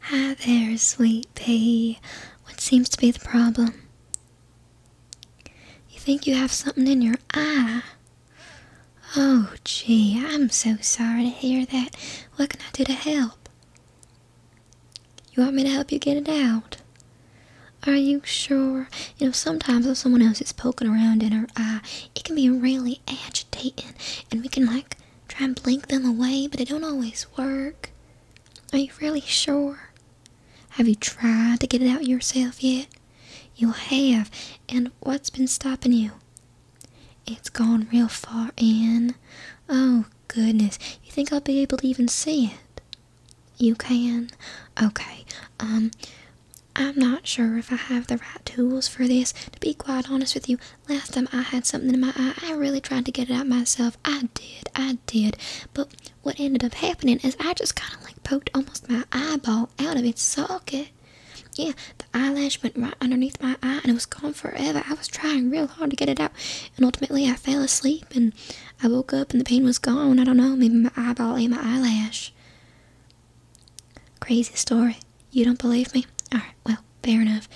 Hi there, sweet pea. What seems to be the problem? You think you have something in your eye? Oh, gee, I'm so sorry to hear that. What can I do to help? You want me to help you get it out? Are you sure? You know, sometimes if someone else is poking around in our eye, it can be really agitating, and we can, like, try and blink them away, but it don't always work. Are you really sure? Have you tried to get it out yourself yet? You have, and what's been stopping you? It's gone real far in. Oh, goodness. You think I'll be able to even see it? You can? Okay. Um, I'm not sure if I have the right tools for this. To be quite honest with you, Last time I had something in my eye, I really tried to get it out myself. I did, I did. But what ended up happening is I just kind of like poked almost my eyeball out of its socket. Yeah, the eyelash went right underneath my eye and it was gone forever. I was trying real hard to get it out, and ultimately I fell asleep and I woke up and the pain was gone. I don't know, maybe my eyeball ate my eyelash. Crazy story. You don't believe me? Alright, well, fair enough.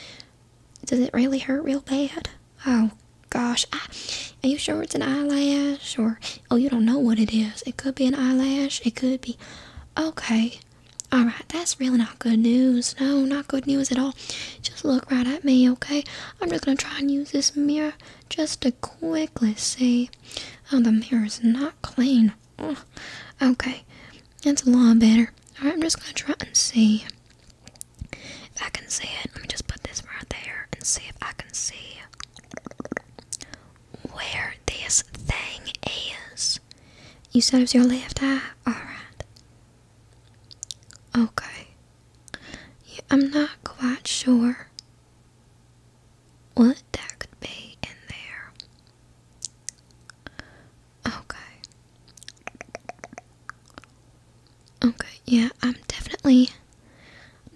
Does it really hurt real bad? Oh, gosh. I, are you sure it's an eyelash? Or, oh, you don't know what it is. It could be an eyelash. It could be. Okay. Alright, that's really not good news. No, not good news at all. Just look right at me, okay? I'm just gonna try and use this mirror just to quickly see. Oh, the mirror's not clean okay, that's a lot better. Alright, I'm just gonna try and see if I can see it. Let me just put this right there and see if I can see where this thing is. You said it your left eye? Alright. Okay. I'm not quite sure what that could be in there. Okay. Okay, yeah, I'm definitely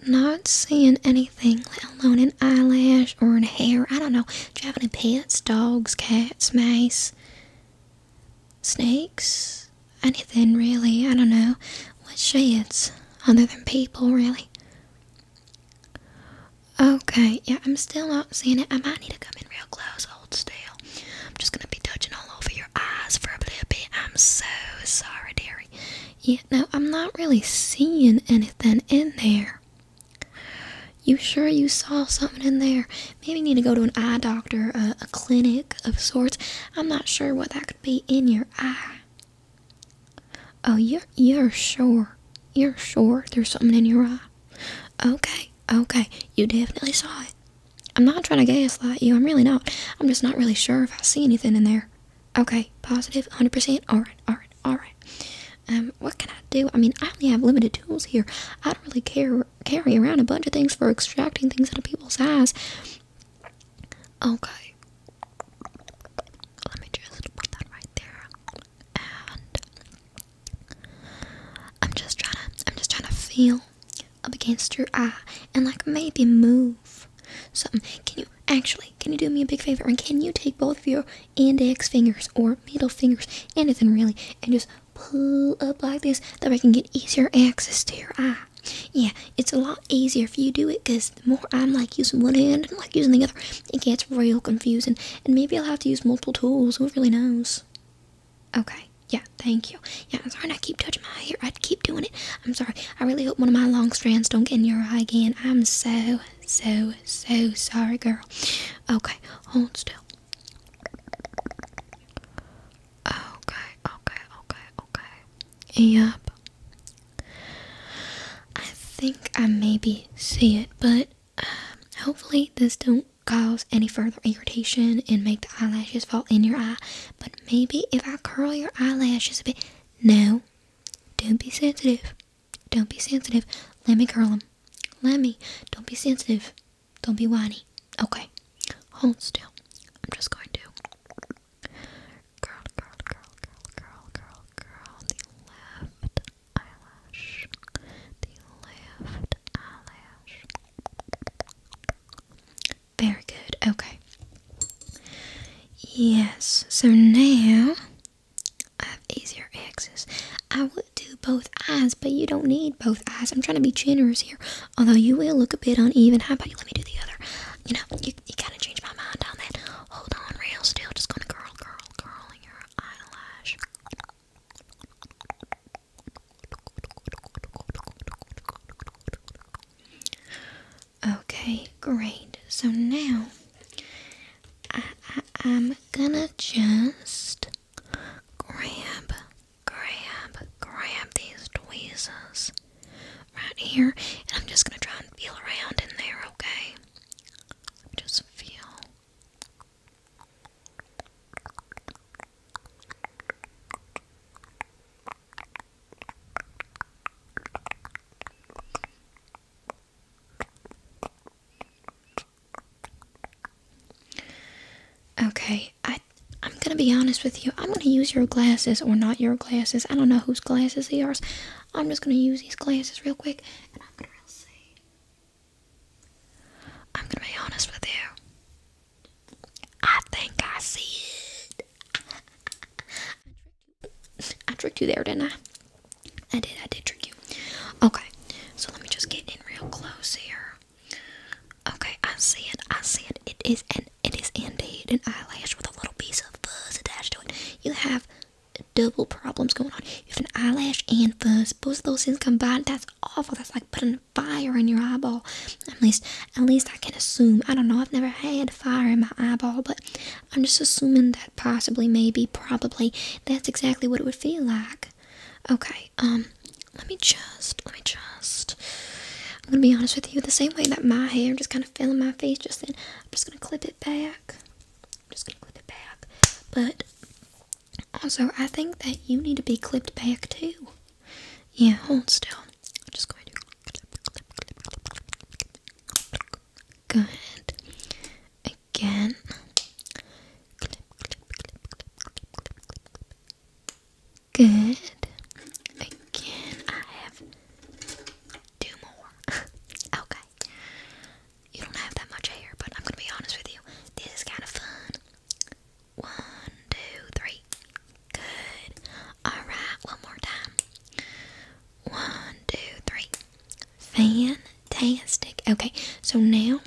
not seeing anything, let alone an eyelash or a hair. I don't know. Do you have any pets? Dogs, cats, mice, snakes? Anything really. I don't know. What shades other than people, really? Okay, yeah, I'm still not seeing it. I might need to come in real close. old still. I'm just gonna be touching all over your eyes for a little bit. I'm so sorry, dearie. Yeah, no, I'm not really seeing anything in there. You sure you saw something in there? Maybe you need to go to an eye doctor, uh, a clinic of sorts. I'm not sure what that could be in your eye. Oh, you're, you're sure. You're sure there's something in your eye. Okay, okay, you definitely saw it. I'm not trying to gaslight you, I'm really not. I'm just not really sure if I see anything in there. Okay, positive, 100%. Alright, alright, alright. Um, what can I do? I mean, I only have limited tools here. I don't really care, carry around a bunch of things for extracting things out of people's ass. Okay. Let me just put that right there and I'm just trying to I'm just trying to feel up against your eye and like maybe move something. Can you actually can you do me a big favor and can you take both of your index fingers or middle fingers, anything really, and just pull up like this that way I can get easier access to your eye. Yeah, it's a lot easier if you do it because the more I'm like using one hand like using the other, it gets real confusing, and maybe I'll have to use multiple tools. Who really knows? Okay. Yeah, thank you. Yeah, sorry I keep touching my hair. I keep doing it. I'm sorry. I really hope one of my long strands don't get in your eye again. I'm so, so, so sorry, girl. Okay, hold still. Okay, okay, okay, okay. Yep. I think I maybe see it, but um, hopefully this don't cause any further irritation and make the eyelashes fall in your eye. But maybe if I curl your eyelashes a bit, no, don't be sensitive. Don't be sensitive. Let me curl them. Let me. Don't be sensitive. Don't be whiny. Okay. Hold still. I'm just going to curl, curl, curl, curl, curl, curl, curl the left eyelash, the left eyelash. Very good. Okay. Yes. So now I have easier access. I would do both eyes, but you don't need both eyes. I'm trying to be generous here. Although you will look a bit uneven. How about you let me do the other? You know, you you, gotta change my mind on that. Hold on real still, just gonna curl, curl, curl your eyelash. Okay, great. So now I, I'm gonna just grab, grab, grab these tweezers right here, and I'm just gonna try and feel around in there, okay? Just feel. Okay, I I'm gonna be honest with you. I'm gonna use your glasses or not your glasses. I don't know whose glasses they are. I'm just gonna use these glasses real quick and I'm gonna say I'm gonna be honest with you. I think I see it. I tricked you. I tricked you there, didn't I? I did, I did trick you. Okay, so let me just get in real close here. Okay, I see it, I see it. It is an it is indeed an eyelash with a little piece of fuzz attached to it. You have double problems going on. You have an eyelash and fuzz. Both of those things combined, that's awful. That's like putting fire in your eyeball. At least, at least I can assume. I don't know. I've never had fire in my eyeball, but I'm just assuming that possibly, maybe, probably, that's exactly what it would feel like. Okay. Um. Let me just. Let me just. I'm gonna be honest with you. The same way that my hair just kind of fell in my face just then. I'm just gonna clip it back. I'm just gonna clip it back. But also, I think that you need to be clipped back too. Yeah, hold still. I'm just going to clip, clip, clip, clip. Good. Again. Clip, clip, clip, clip, clip, clip, clip. Good. Again, I have do more. okay. You don't have that much hair, but I'm gonna be honest with you. This is kind of fun. One, two, three. Good. Alright, one more time. One, two, three. Fantastic. Okay, so now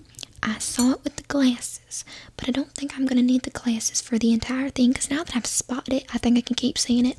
I saw it with the glasses, but I don't think I'm gonna need the glasses for the entire thing because now that I've spotted it, I think I can keep seeing it.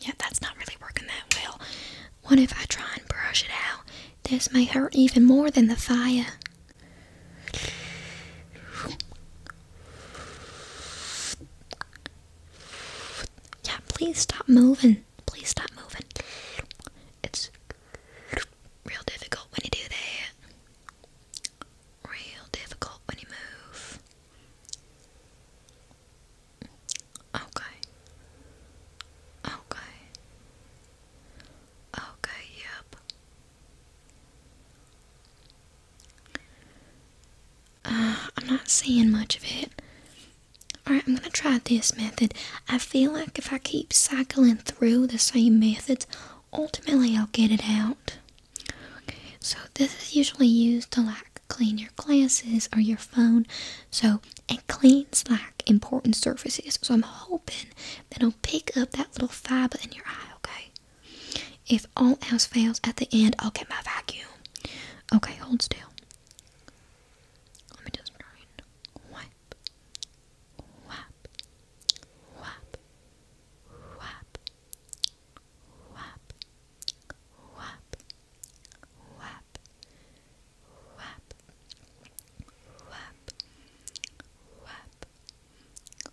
yeah, that's not really working that well. What if I try and brush it out? This may hurt even more than the fire. Yeah, please stop moving. Please stop moving. It's real difficult when you do that. Real difficult when you move. Okay. Okay. Okay, yep. Uh, I'm not seeing much of it. Alright, I'm gonna try this method. I feel like if I keep cycling through the same methods, ultimately I'll get it out. Okay, so this is usually used a lot clean your glasses or your phone. So it cleans like important surfaces. So I'm hoping that it'll pick up that little fiber in your eye, okay? If all else fails at the end, I'll get my vacuum. Okay, hold still. Let me just try and wipe, wipe, wipe, wipe, whap, whap, whap, whap, whap, whap, whap, whap, whap,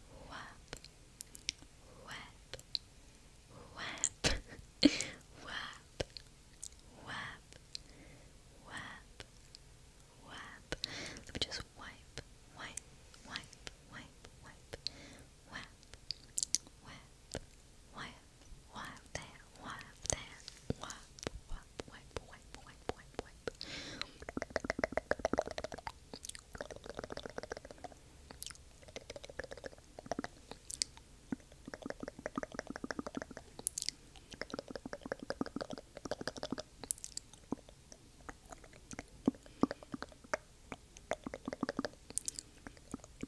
whap, whap, whap, whap. Let me just wipe, wipe, wipe, wipe, wipe, Whap, whap, whap, whap that, whap that, whap, whap, wipe, wipe, wipe, wipe, wipe. Whap,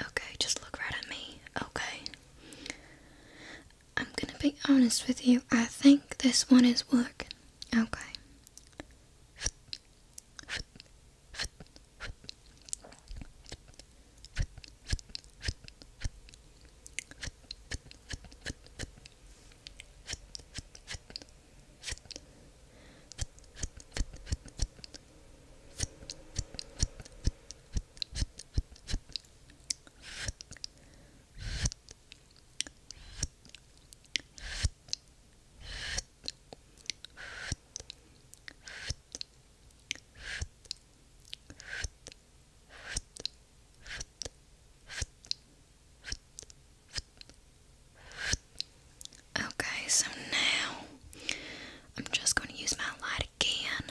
Okay, just look right at me. Okay. I'm gonna be honest with you. I think this one is working. Okay. Okay, so now I'm just going to use my lighter again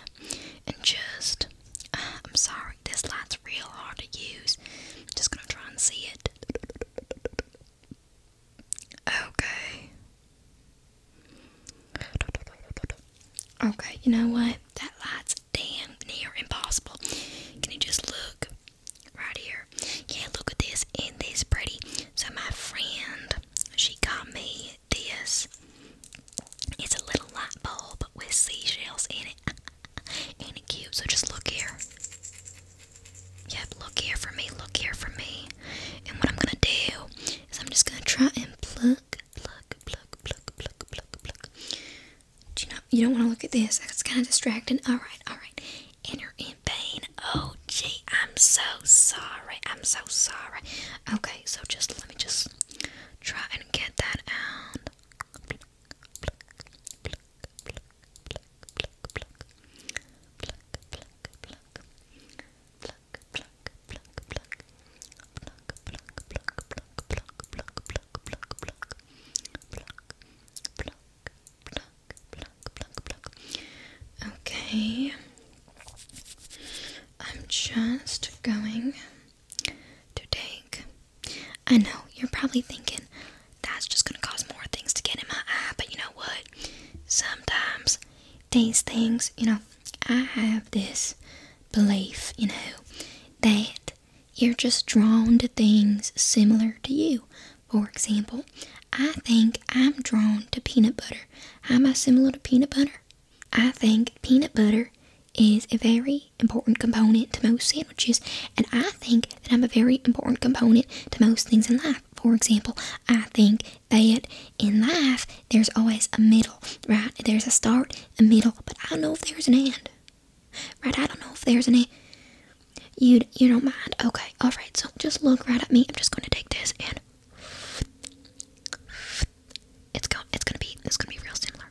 and just uh, I'm sorry this light's real hard to use just gonna try and see it okay okay you know what that light's damn near impossible can you just look right here yeah look at this and this pretty so my friend she got me this. It's a little light bulb with seashells in it. Ain't it cute? So just look here. Yep, look here for me, look here for me. And what I'm gonna do is I'm just gonna try and pluck, pluck, pluck, pluck, pluck, pluck, pluck. you know you don't wanna look at this? It's kinda distracting. Alright, alright. And you're in pain. Oh Oh I'm so sorry. I'm so sorry. Okay, so just let me just try and get that out. Okay. I'm just going to take. I know you're probably thinking that's just gonna cause more things to get in my eye, but you know what? Sometimes these things, you know, I have this belief, you know, that you're just drawn to things similar to you. For example, I think I'm drawn to peanut butter. Am I similar to peanut butter? I think peanut butter is a very important component to most sandwiches, and I think that I'm a very important component to most things in life. For example, I think that in life there's always a middle, right? There's a start, a middle, but I don't know if there's an end. Right? I don't know if there's an end. You you don't mind? Okay, all right. So just look right at me. I'm just going to take this and it's going it's gonna be it's gonna be real similar.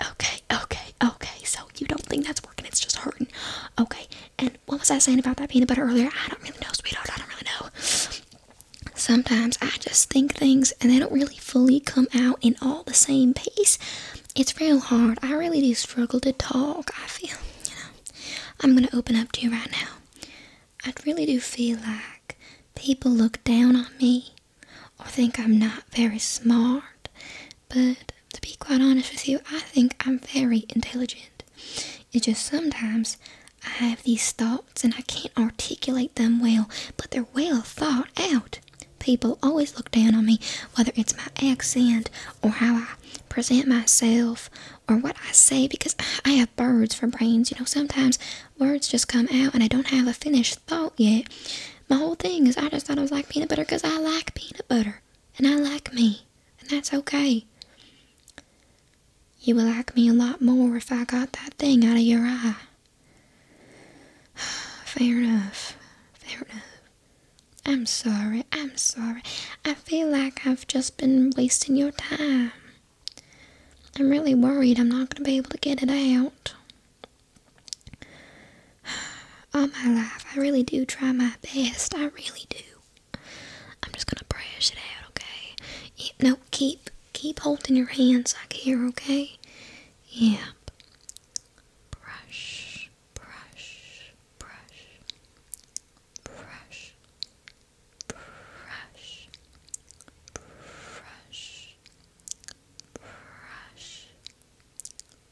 Okay, okay, okay. So you don't think that's working, it's just hurting. Okay, and what was I saying about that peanut butter earlier? I don't really know, sweetheart. I don't really know. Sometimes I just think things and they don't really fully come out in all the same piece. It's real hard. I really do struggle to talk. I feel, you know, I'm gonna open up to you right now. I really do feel like people look down on me or think I'm not very smart, but to be quite honest with you, I think I'm very intelligent. It's just sometimes I have these thoughts and I can't articulate them well, but they're well thought out. People always look down on me, whether it's my accent or how I present myself or what I say because I have birds for brains. You know, sometimes words just come out and I don't have a finished thought yet. My whole thing is I just thought I was like peanut butter because I like peanut butter and I like me, and that's okay. You would like me a lot more if I got that thing out of your eye. Fair enough. Fair enough. I'm sorry, I'm sorry. I feel like I've just been wasting your time. I'm really worried I'm not going to be able to get it out. All my life, I really do try my best. I really do. I'm just going to brush it out, okay? no, keep keep holding your hands like here, okay? Yep. Brush brush, brush, brush, brush, brush, brush,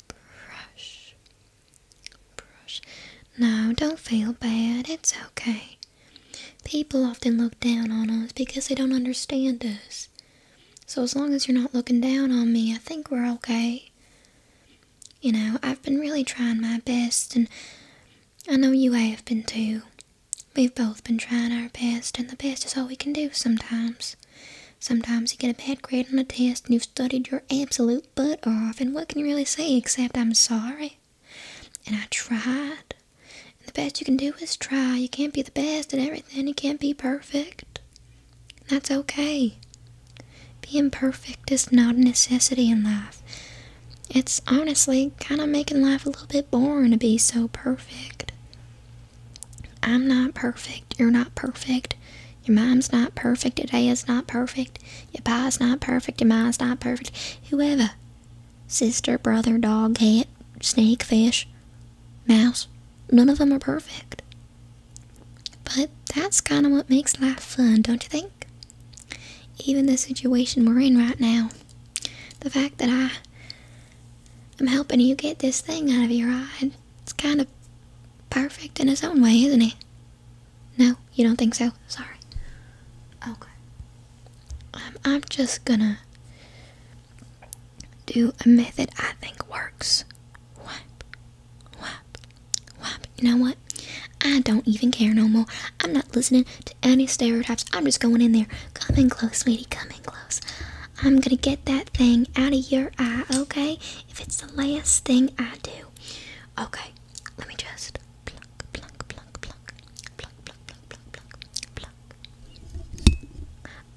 brush, brush. No, don't feel bad. It's okay. People often look down on us because they don't understand us. So as long as you're not looking down on me, I think we're okay. You know, I've been really trying my best, and I know you have been too. We've both been trying our best, and the best is all we can do sometimes. Sometimes you get a bad grade on a test and you've studied your absolute butt off, and what can you really say except I'm sorry? And I tried. And the best you can do is try. You can't be the best at everything, you can't be perfect. That's okay. Being perfect is not a necessity in life. It's honestly kind of making life a little bit boring to be so perfect. I'm not perfect. You're not perfect. Your mom's not perfect. Your is not perfect. Your pa's not perfect. Your mom's not perfect. Whoever. Sister, brother, dog, cat, snake, fish, mouse. None of them are perfect. But that's kind of what makes life fun, don't you think? Even the situation we're in right now. The fact that I am helping you get this thing out of your eye, it's kind of perfect in its own way, isn't it? No, you don't think so? Sorry. Okay. Um, I'm just gonna do a method I think works Whap, whap, whap. You know what? I don't even care no more. I'm not listening to any stereotypes. I'm just going in there. Come in close, sweetie. Come in close. I'm gonna get that thing out of your eye, okay? If it's the last thing I do. Okay, let me just pluck, pluck, pluck, pluck, pluck, pluck, pluck, pluck, pluck, pluck.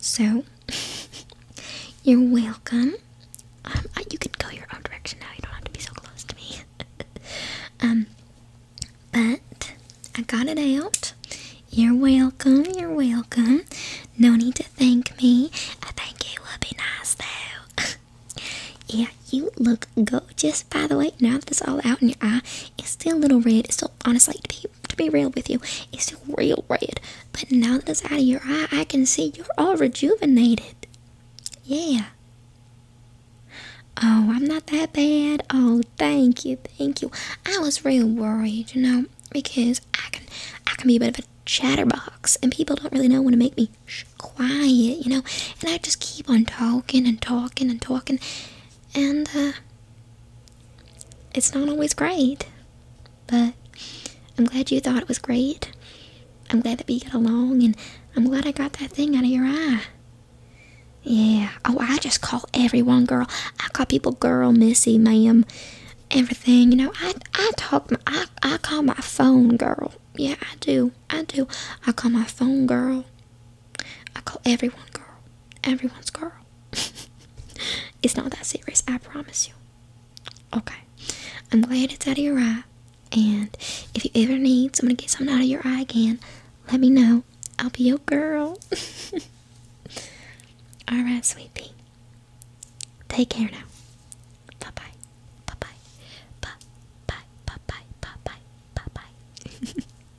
So, you're welcome. Um, uh, you can go your own direction now. You don't have to be so close to me. um, but I got it out. You're welcome. You're welcome. No need to thank me. I think it would be nice though. yeah, you look Just By the way, now that it's all out in your eye, it's still a little red. It's still honestly to be to be real with you, it's still real red. But now that it's out of your eye, I can see you're all rejuvenated. Yeah. Oh, I'm not that bad. Oh, thank you, thank you. I was real worried, you know, because I can I can be a bit of a chatterbox and people don't really know when to make me quiet, you know. And I just keep on talking and talking and talking and uh, it's not always great, but I'm glad you thought it was great. I'm glad that we got along, and I'm glad I got that thing out of your eye. Yeah. Oh, I just call everyone girl. I call people girl, missy, ma'am, everything. You know, I I talk. I I call my phone girl. Yeah, I do. I do. I call my phone girl. I call everyone girl. Everyone's girl. it's not that serious, I promise you. Okay. I'm glad it's out of your eye. And if you ever need someone to get something out of your eye again, let me know. I'll be your girl. Alright, sweetie. Take care now. Bye bye. Bye bye. Bye bye. Bye bye. Bye bye. Bye bye.